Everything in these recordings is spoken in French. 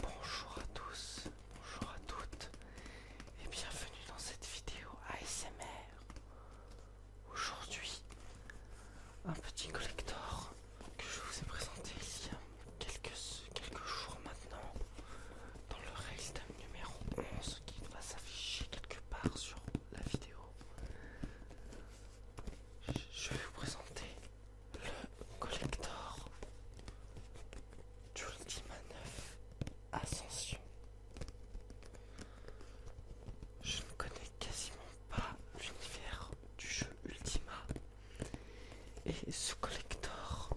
Bonjour à tous, bonjour à toutes et bienvenue dans cette vidéo ASMR. Aujourd'hui, un petit collector que je vous ai présenté il y a quelques, jours maintenant dans le de numéro 11 qui va s'afficher quelque part sur la vidéo. Je vais vous présenter le collector d'Ultima 9 Ascension. Je ne connais quasiment pas l'univers du jeu Ultima et ce collector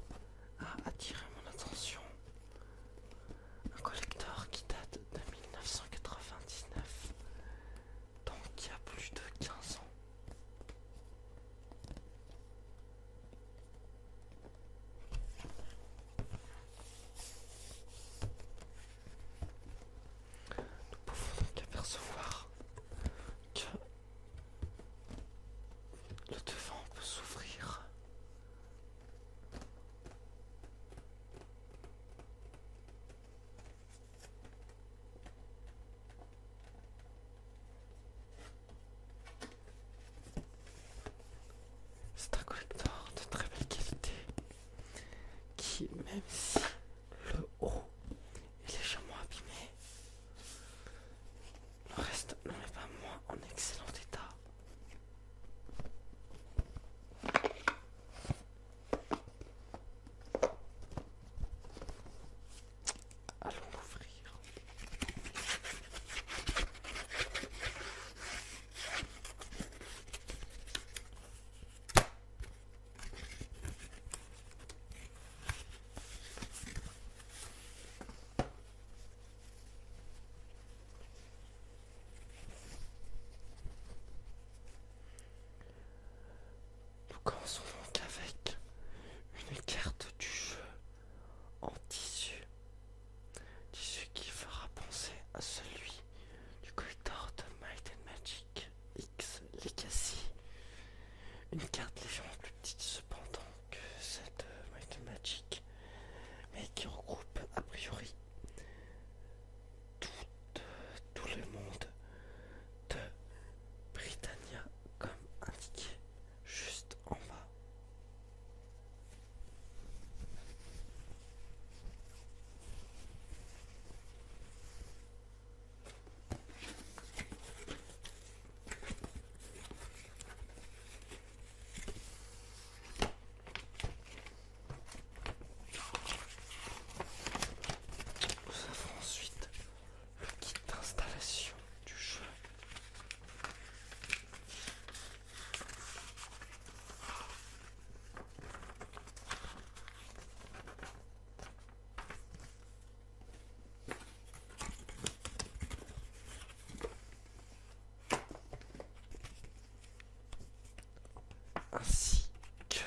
a attiré mon attention. Un collector qui date de 1999 donc il y a plus de 15 ans. Nous pouvons donc apercevoir que le devant peut s'ouvrir. C'est un collector de très belle qualité qui, même si le haut est légèrement abîmé, le reste n'en est pas moins en excellent état. Allons l'ouvrir. Nous commençons donc avec une carte du jeu en tissu. Tissu qui fera penser à celui du collector de Might Magic X Legacy. Une carte légèrement plus petite cependant que cette de euh, Might Magic, mais qui regroupe a priori tout, le monde de Britannia comme indiqué juste en bas. Nous avons ensuite le kit d'installation du jeu ainsi que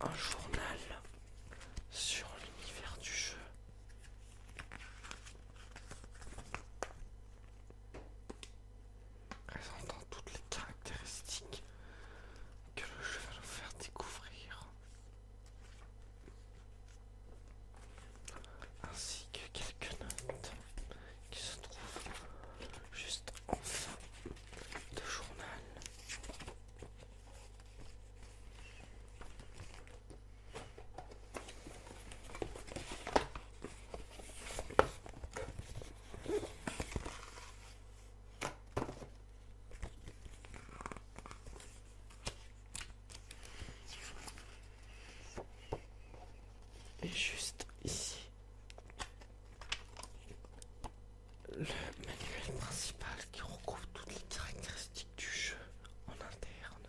un journal sur l'univers du jeu. Présentant toutes les caractéristiques que le jeu va nous faire découvrir, ainsi que quelques notes qui se trouve juste en fin de journal. Et juste ici le manuel principal qui recouvre toutes les caractéristiques du jeu en interne.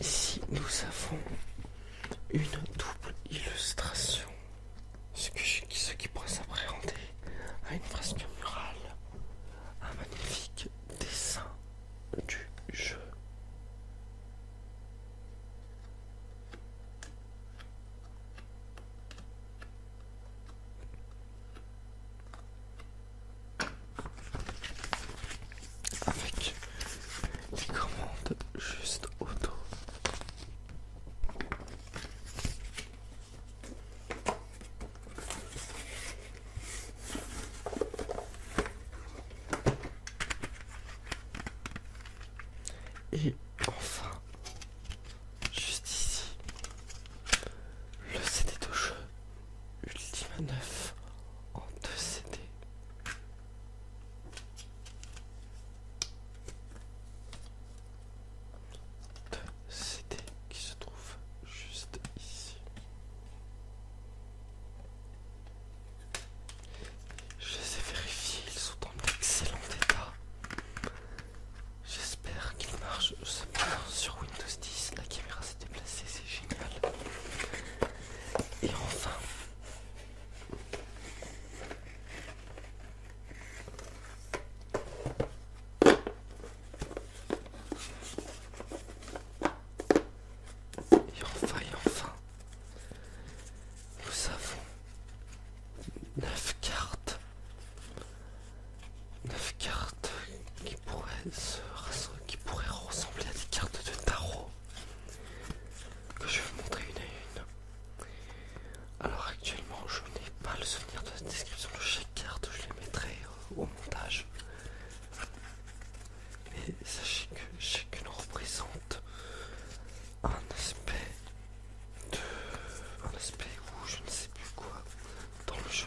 Ici, nous avons une double illustration. Ce, qui pourrait s'appréhender à une fresque murale, un magnifique dessin du jeu. Avec les commandes juste auto. Et enfin, juste ici, le CD de jeu Ultima 9 en 2 CD. 2 CD qui se trouve juste ici. Je les ai vérifiés, ils sont en excellent état. J'espère qu'ils marchent. Sur Windows 10, la caméra s'est déplacée, c'est génial. Et enfin, et enfin, enfin, nous avons 9 cartes. 9 cartes qui pourraient, qui pourraient ressembler à des cartes de tarot. Que je vais vous montrer une à une. Alors actuellement je n'ai pas le souvenir de la description de chaque carte, je les mettrai au montage. Mais sachez que chacune représente un aspect de. un aspect où je ne sais plus quoi dans le jeu.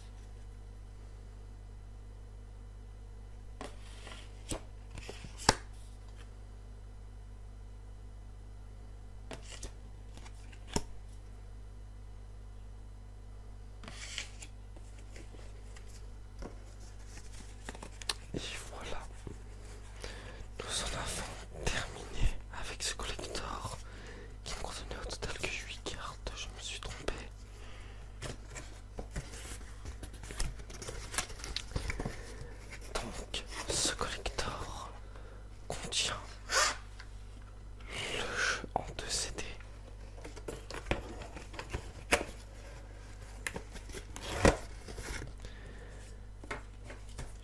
Et voilà, nous en avons terminé avec ce collector qui me contenait au total que 8 cartes, je me suis trompé. Donc, ce collector contient le jeu en 2 CD.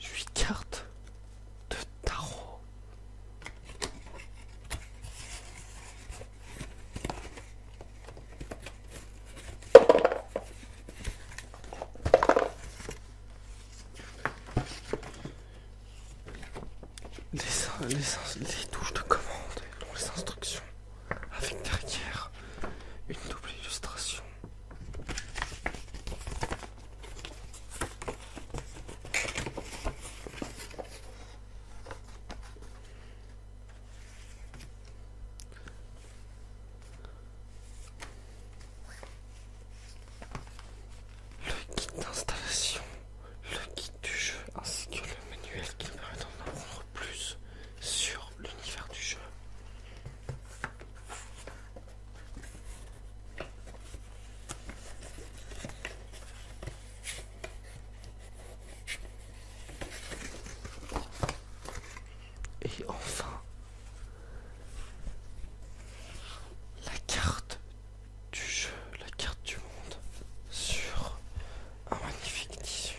8 cartes de tarot. Les, touches de commande et les instructions avec derrière une double illustration. Le kit d'installation, le kit du jeu ainsi que le manuel qui permet d'en apprendre plus sur l'univers du jeu. Et enfin, la carte du jeu, la carte du monde sur un magnifique tissu.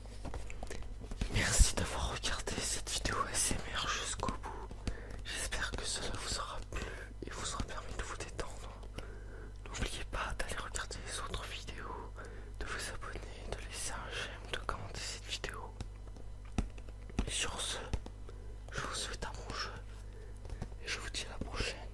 Merci d'avoir regardé cette vidéo SMR jusqu'au bout. J'espère que cela vous aura plu et vous aura permis de vous détendre. N'oubliez pas d'aller regarder les autres vidéos, de vous abonner, de laisser un j'aime, de commenter cette vidéo. Et sur ce, je vous souhaite un bon jeu et je vous dis à la prochaine.